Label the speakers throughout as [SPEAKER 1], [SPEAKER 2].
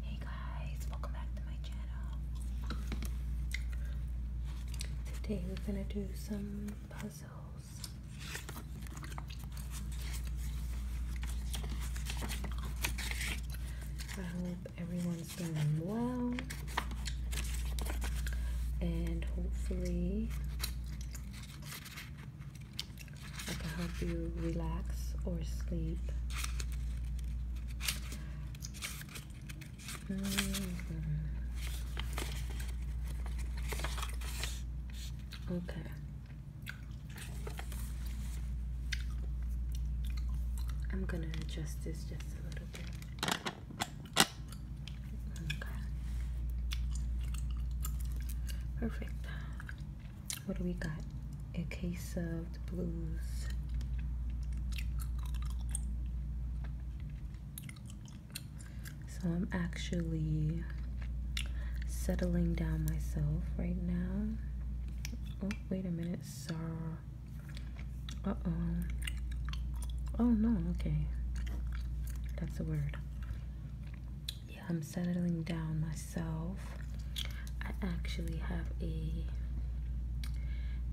[SPEAKER 1] Hey guys, welcome back to my channel. Today we're gonna do some puzzles. I hope everyone's doing well and hopefully I can help you relax or sleep. Mm-hmm. Okay. I'm gonna adjust this just a little bit. Okay. Perfect. What do we got? A case of the blues. So I'm actually settling down myself right now. Oh, wait a minute, sir. Uh-oh. Oh no, okay. That's a word. I'm settling down myself. I actually have a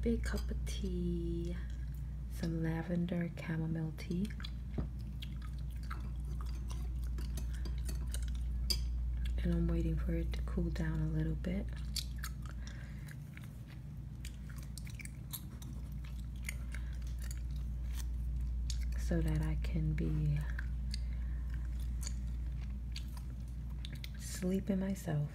[SPEAKER 1] big cup of tea, some lavender chamomile tea. And I'm waiting for it to cool down a little bit so that I can be sleeping myself.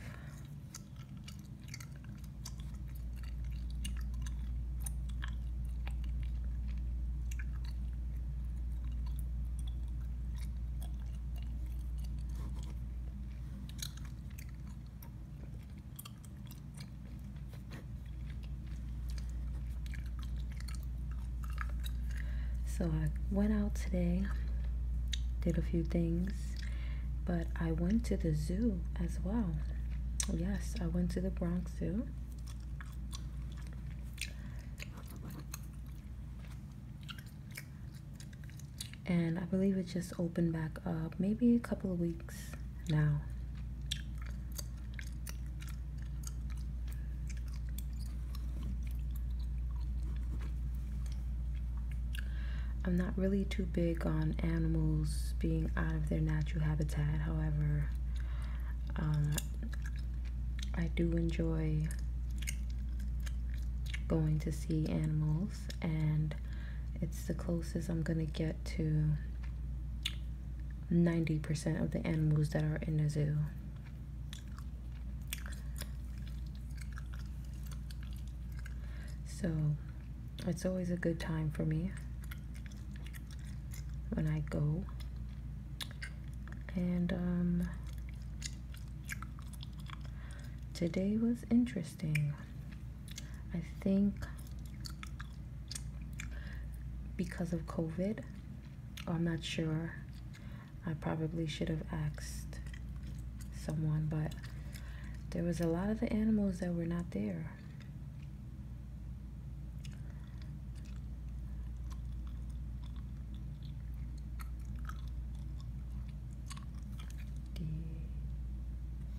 [SPEAKER 1] So I went out today, did a few things, but I went to the zoo as well. Yes, I went to the Bronx Zoo. And I believe it just opened back up maybe a couple of weeks now. I'm not really too big on animals being out of their natural habitat, however, um, I do enjoy going to see animals, and it's the closest I'm gonna get to 90% of the animals that are in the zoo. So it's always a good time for me when I go. And um, today was interesting. I think because of COVID, Oh, I'm not sure. I probably should have asked someone, but there was a lot of the animals that were not there.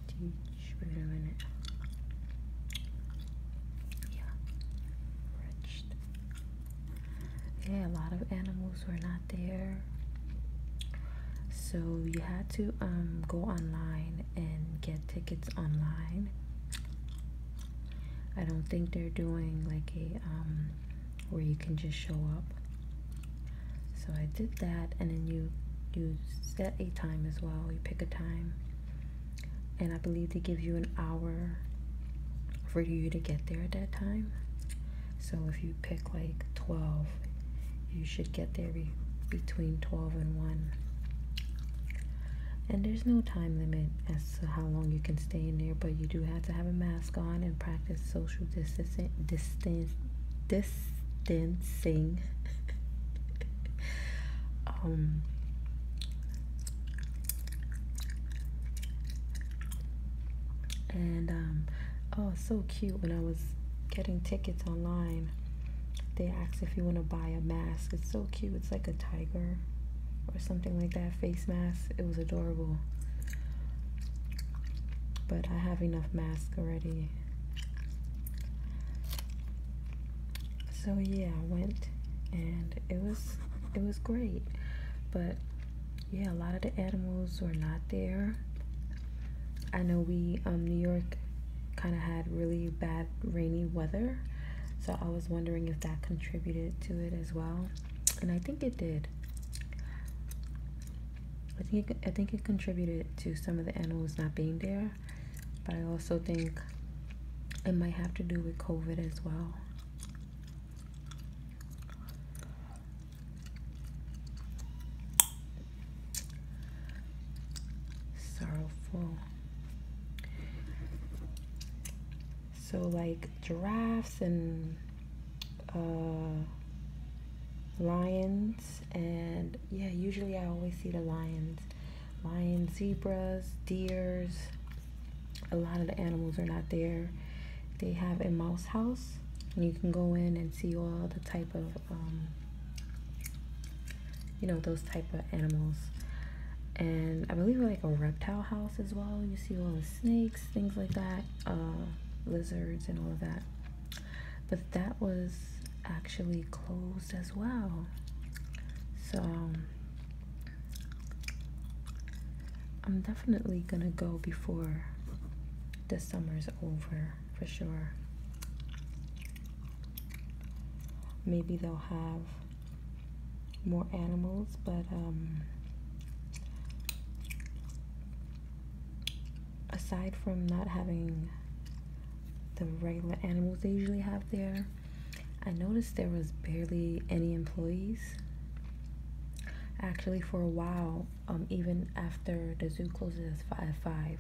[SPEAKER 1] Teach, wait a minute. Yeah, wretched. Yeah, a lot of animals were not there. So you had to um, go online and get tickets online. I don't think they're doing like a um, where you can just show up. So I did that, and then you you set a time as well. You pick a time, and I believe they give you an hour for you to get there at that time. So if you pick like 12, you should get there between 12 and 1. And there's no time limit as to how long you can stay in there, but you do have to have a mask on and practice social distancing. distancing. Um, and um, oh, so cute. When I was getting tickets online, they asked if you want to buy a mask. It's so cute. It's like a tiger or something like that face mask. It was adorable. But I have enough masks already so yeah i went and it was it was great but yeah a lot of the animals were not there i know we um new york kind of had really bad rainy weather so i was wondering if that contributed to it as well and i think it did i think i think it contributed to some of the animals not being there but I also think it might have to do with COVID as well. Sorrowful. So, like giraffes and uh, lions, and yeah, usually I always see the lions. Lions, zebras deers a lot of the animals are not there they have a mouse house and you can go in and see all the type of um, you know those type of animals and i believe we're like a reptile house as well you see all the snakes things like that uh, lizards and all of that but that was actually closed as well. So I'm definitely gonna go before the summer's over for sure. Maybe they'll have more animals, but um, aside from not having the regular animals they usually have there. I noticed there was barely any employees. Actually, for a while, um, even after the zoo closes at five,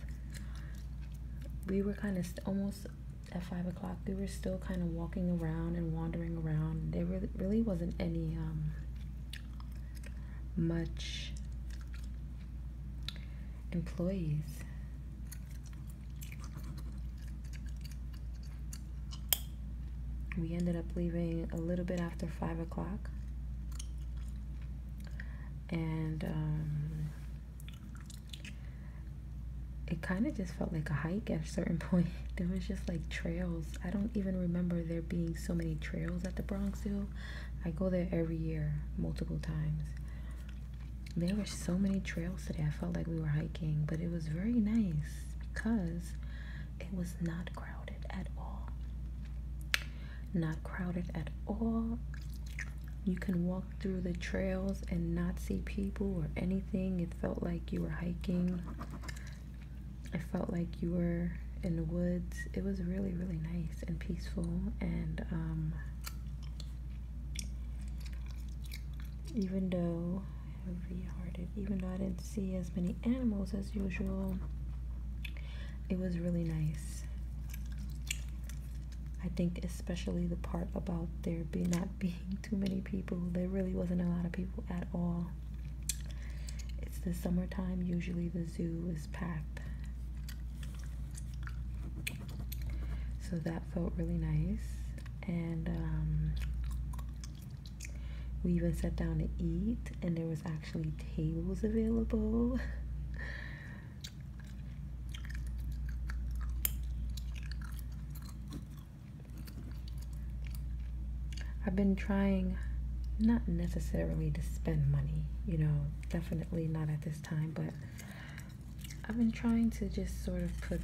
[SPEAKER 1] we were kind of almost at five o'clock. We were still kind of walking around and wandering around. There really, really wasn't any um, much employees. We ended up leaving a little bit after five o'clock, and um, it kind of just felt like a hike at a certain point. there was just like trails. I don't even remember there being so many trails at the Bronx Zoo. I go there every year, multiple times there were so many trails today. I felt like we were hiking, but it was very nice because it was not crowded at all. Not crowded at all. You can walk through the trails and not see people or anything. It felt like you were hiking. It felt like you were in the woods. It was really, really nice and peaceful. And um, even though heavy-hearted even though i didn't see as many animals as usual it was really nice i think especially the part about there be not being too many people there really wasn't a lot of people at all it's the summertime usually the zoo is packed so that felt really nice and um, we even sat down to eat and there was actually tables available I've been trying not necessarily to spend money, you know, definitely not at this time, but I've been trying to just sort of put.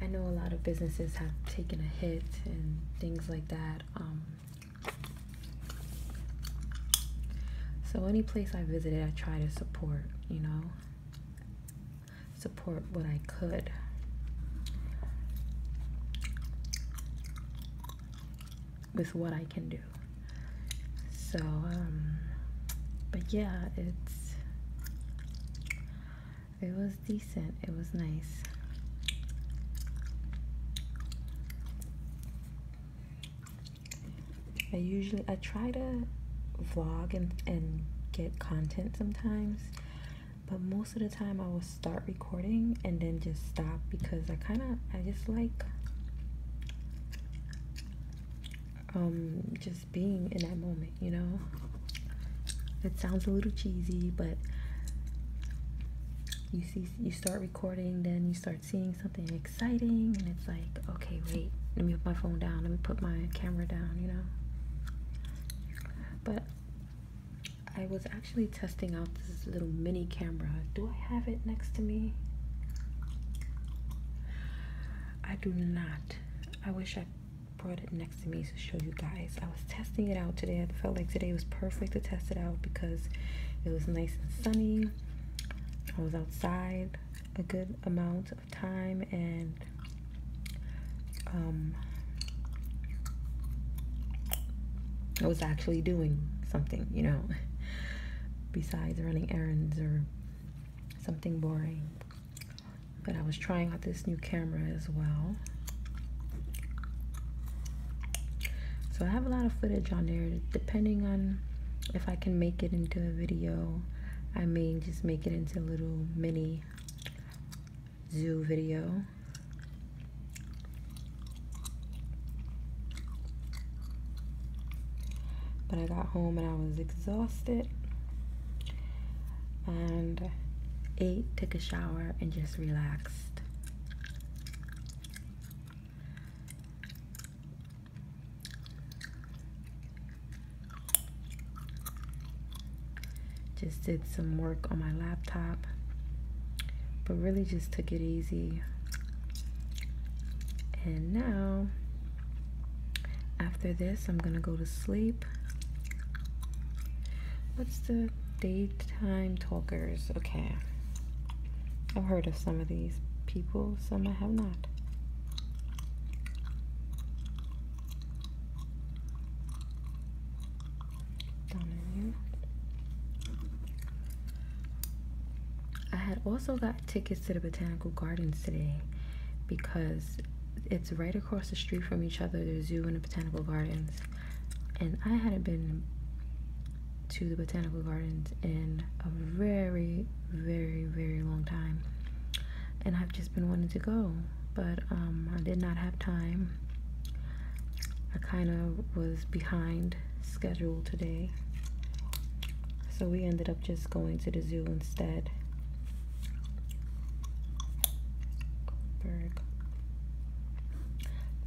[SPEAKER 1] I know a lot of businesses have taken a hit and things like that. Um, so any place I visited, I try to support. You know, support what I could with what I can do. So, um, but yeah, it's it was decent. It was nice. I usually I try to vlog and and get content sometimes but most of the time I will start recording and then just stop because I kind of I just like um just being in that moment you know it sounds a little cheesy but you see you start recording then you start seeing something exciting and it's like okay wait let me put my phone down let me put my camera down you know but i was actually testing out this little mini camera. Do I have it next to me? I do not. I wish I brought it next to me to show you guys. I was testing it out today. I felt like today was perfect to test it out because it was nice and sunny. I was outside a good amount of time and um, I was actually doing something, you know besides running errands or something boring. But I was trying out this new camera as well. So I have a lot of footage on there depending on if I can make it into a video. I may just make it into a little mini zoo video. But I got home and I was exhausted and ate, took a shower, and just relaxed. Just did some work on my laptop, but really just took it easy. And now, after this, I'm gonna go to sleep. What's the daytime talkers? Okay. I've heard of some of these people, some I have not. I had also got tickets to the botanical gardens today because it's right across the street from each other, the zoo and the botanical gardens. And I hadn't been to the botanical gardens in a very, very, very long time. And I've just been wanting to go, but um, I did not have time. I kind of was behind schedule today. So we ended up just going to the zoo instead.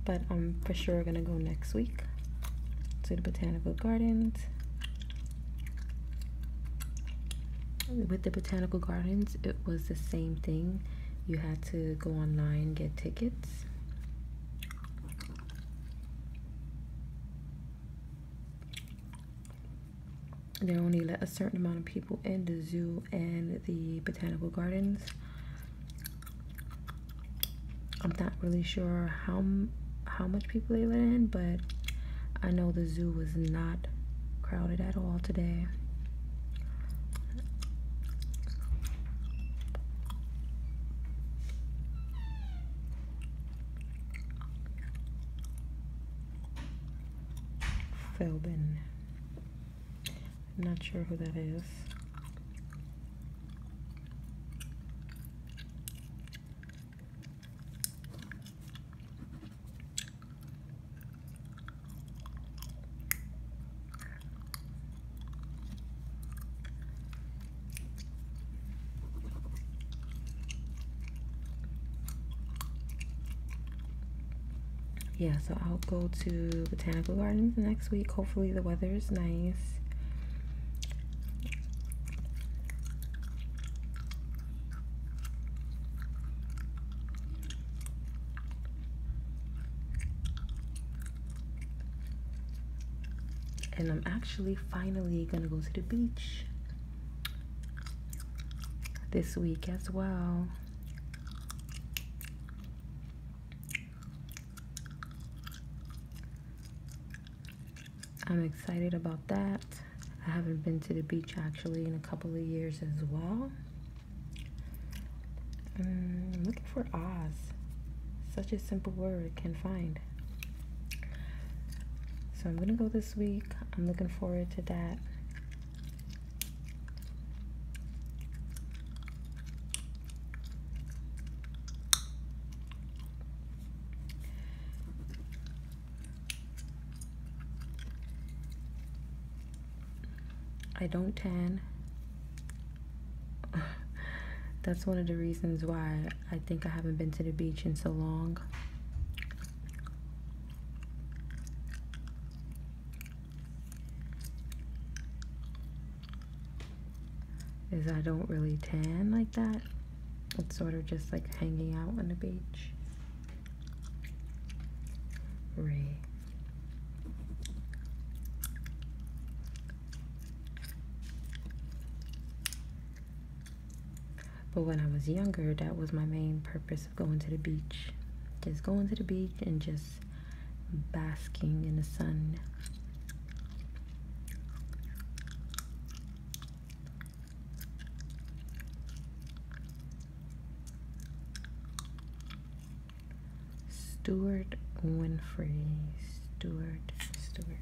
[SPEAKER 1] But I'm for sure gonna go next week to the botanical gardens. With the botanical gardens, it was the same thing. You had to go online get tickets they only let a certain amount of people in the zoo and the botanical gardens. I'm not really sure how how much people they let in, but I know the zoo was not crowded at all today. Felbin. I'm not sure who that is yeah so i'll go to botanical gardens next week hopefully the weather is nice and I'm actually finally gonna go to the beach this week as well. I'm excited about that. I haven't been to the beach actually in a couple of years as well. I'm mm, looking for Oz. Such a simple word can find. So I'm gonna go this week. I'm looking forward to that. I don't tan. That's one of the reasons why I think I haven't been to the beach in so long. Is I don't really tan like that. It's sort of just like hanging out on the beach. Ray. But when I was younger, that was my main purpose of going to the beach. Just going to the beach and just basking in the sun. Stewart Winfrey. Stewart, Stewart,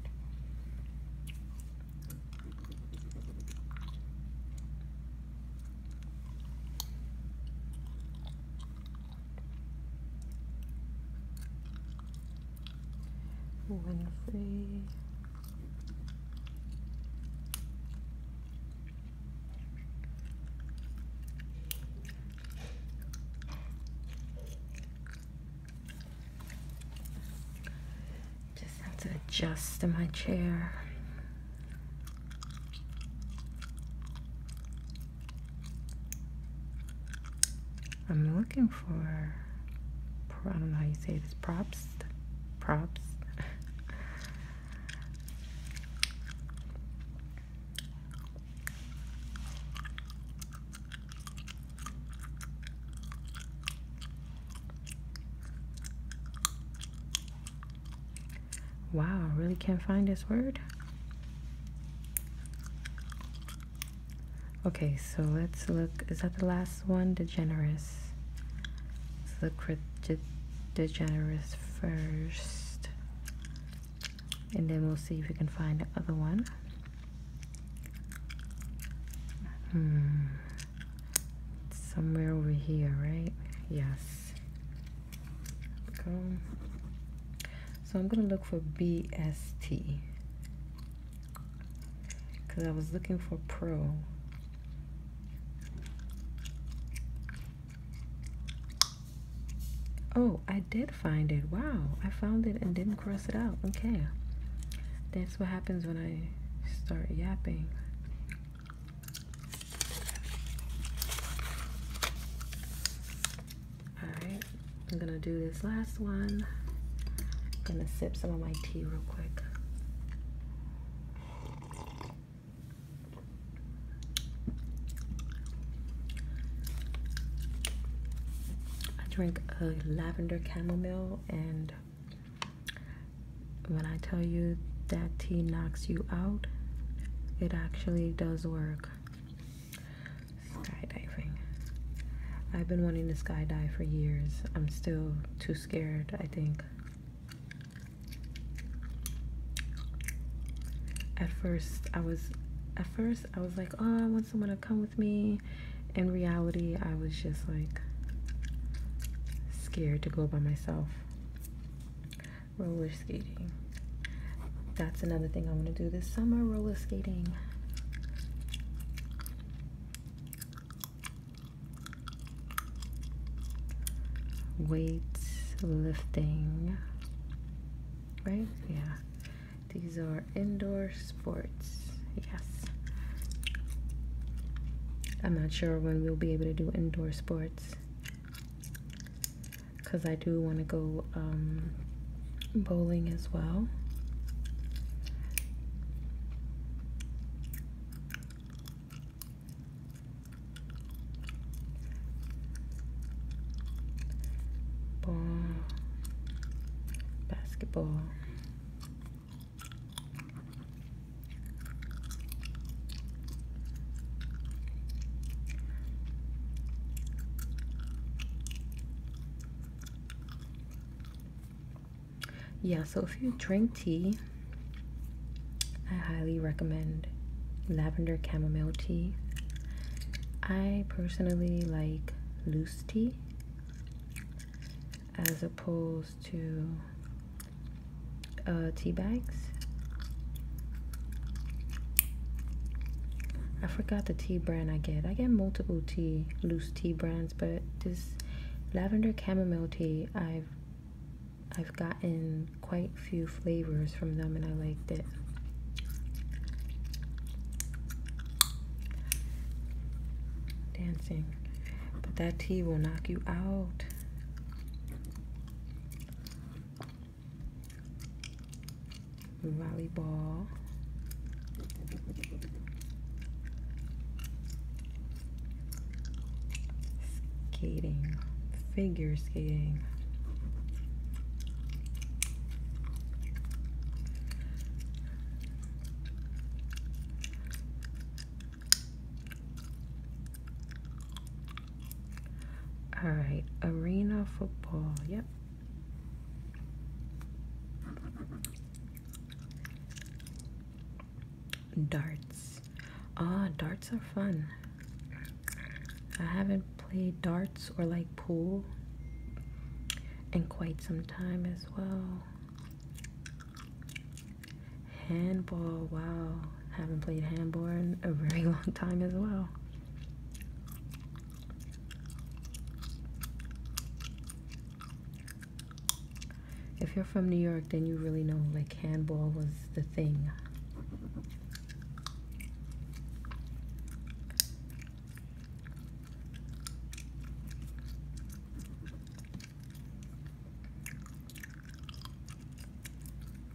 [SPEAKER 1] Winfrey. Just have to adjust to my chair. I'm looking for, I don't know how you say this, props? Props? Wow, I really can't find this word. Okay, so let's look. Is that the last one? Degenerate. Let's look for de first and then we'll see if we can find the other one hmm somewhere over here right yes go so I'm gonna look for BST because I was looking for pro Oh, I did find it. Wow, I found it and didn't cross it out. Okay. That's what happens when I start yapping. Alright, I'm gonna do this last one. I'm gonna sip some of my tea real quick. I drink a lavender chamomile, and when I tell you that tea knocks you out, it actually does work. Skydiving. I've been wanting to skydive for years. I'm still too scared, I think. At first, I was at first I was like, "Oh, I want someone to come with me." In reality, I was just like scared to go by myself. Roller skating. That's another thing I want to do this summer, roller skating weights lifting right yeah these are indoor sports yes i'm not sure when we'll be able to do indoor sports because i do want to go um, bowling as well Ball, basketball. Yeah, so if you drink tea, I highly recommend lavender chamomile tea. I personally like loose tea as opposed to uh, tea bags. I forgot the tea brand I get. I get multiple tea, loose tea brands, but this lavender chamomile tea I've I've gotten quite few flavors from them and I liked it. Dancing. But that tea will knock you out. Volleyball skating, figure skating. All right, arena football. Yep. Darts. Ah, darts are fun. I haven't played darts or like pool in quite some time as well. Handball, wow. Haven't played handball in a very long time as well if you're from New York, then you really know like handball was the thing.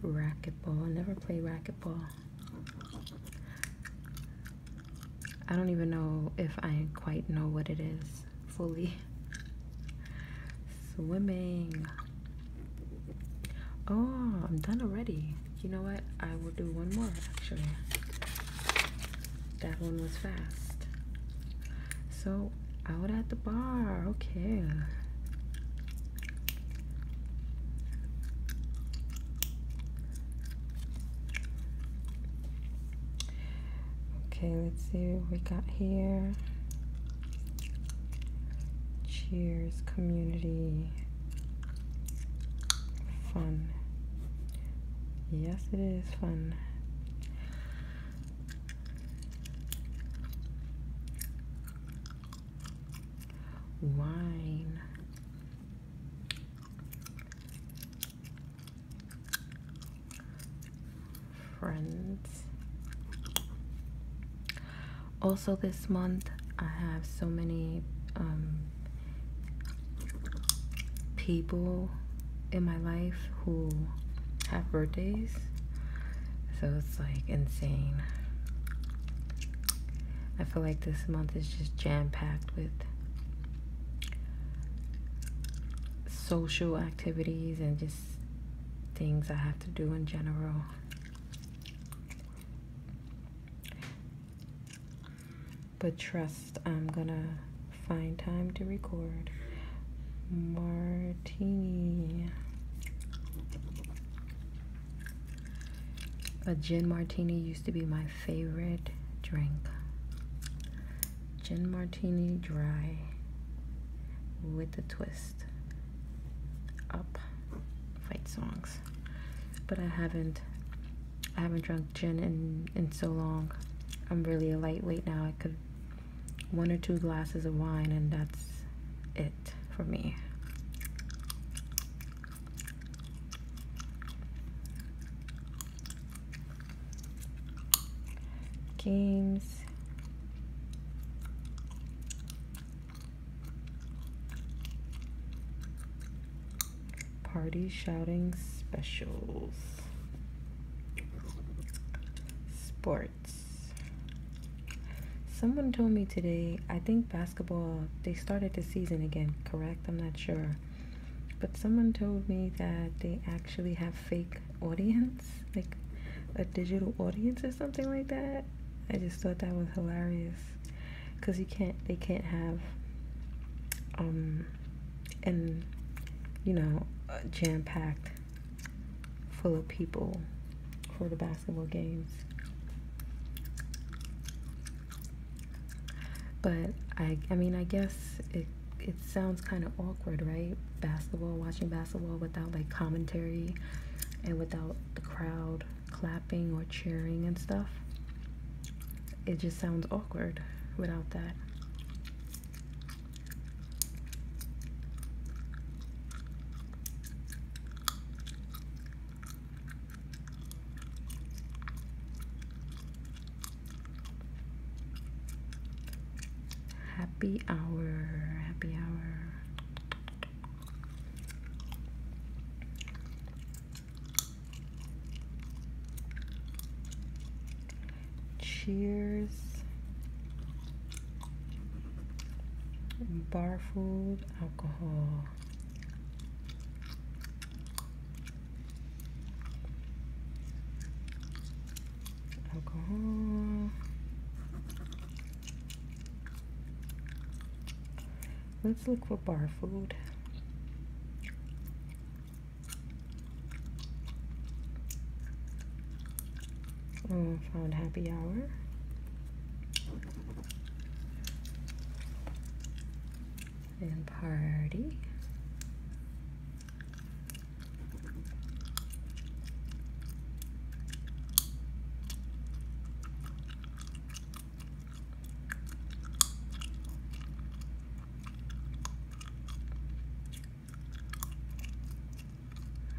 [SPEAKER 1] Racquetball. I never played racquetball. I don't even know if I quite know what it is fully swimming. Oh, I'm done already. You know what? I will do one more actually. That one was fast. So, out at the bar. Okay. Okay, let's see what we got here. Cheers, community. Fun. Yes, it is fun. Wine friends. Also, this month I have so many um, people in my life who have birthdays, so it's like insane. I feel like this month is just jam packed with social activities and just things I have to do in general. But trust, I'm gonna find time to record. Martini. A gin martini used to be my favorite drink. Gin Martini Dry with a twist up fight songs. But I haven't I haven't drunk gin in, in so long. I'm really a lightweight now. I could one or two glasses of wine and that's it for me games party shouting specials sports someone told me today i think basketball they started the season again correct i'm not sure but someone told me that they actually have fake audience like a digital audience or something like that. I just thought that was hilarious because you can't, they can't have, um, and you know, jam packed full of people for the basketball games. But I, I mean, I guess it it sounds kind of awkward, right? Basketball, watching basketball without like commentary and without the crowd clapping or cheering and stuff. It just sounds awkward without that. Happy hour, happy hour. Cheers. Bar food, alcohol. Let's look for bar food. Oh, found happy hour. And party.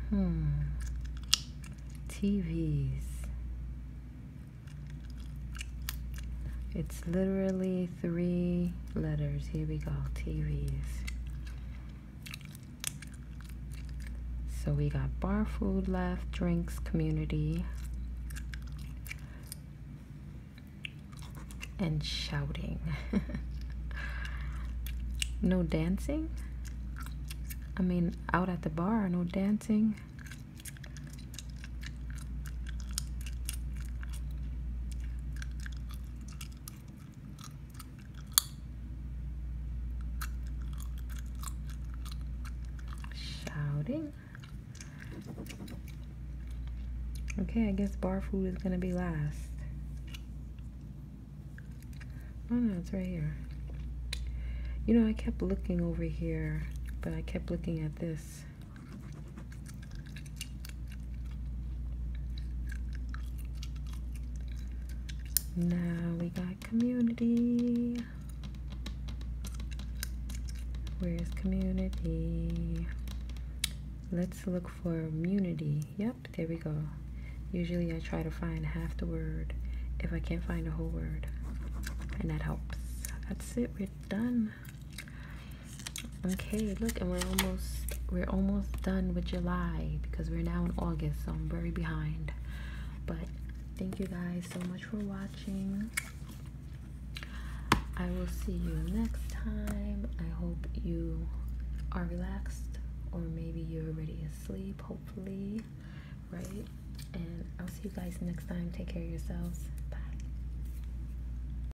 [SPEAKER 1] Hmm. TVs. It's literally three letters. Here we go, TVs. So we got bar food left, drinks, community, and shouting. no dancing? I mean, out at the bar, no dancing. Shouting. Okay, I guess bar food is gonna be last. Oh no, it's right here. You know, I kept looking over here, but I kept looking at this. Now we got community. Where's community? Let's look for immunity. Yep, there we go. Usually I try to find half the word if I can't find the whole word. And that helps. That's it, we're done. Okay, look, and we're almost we're almost done with July because we're now in August, so I'm very behind. But thank you guys so much for watching. I will see you next time. I hope you are relaxed or maybe you're already asleep, hopefully, right? And I'll see you guys next time. Take care of yourselves. Bye.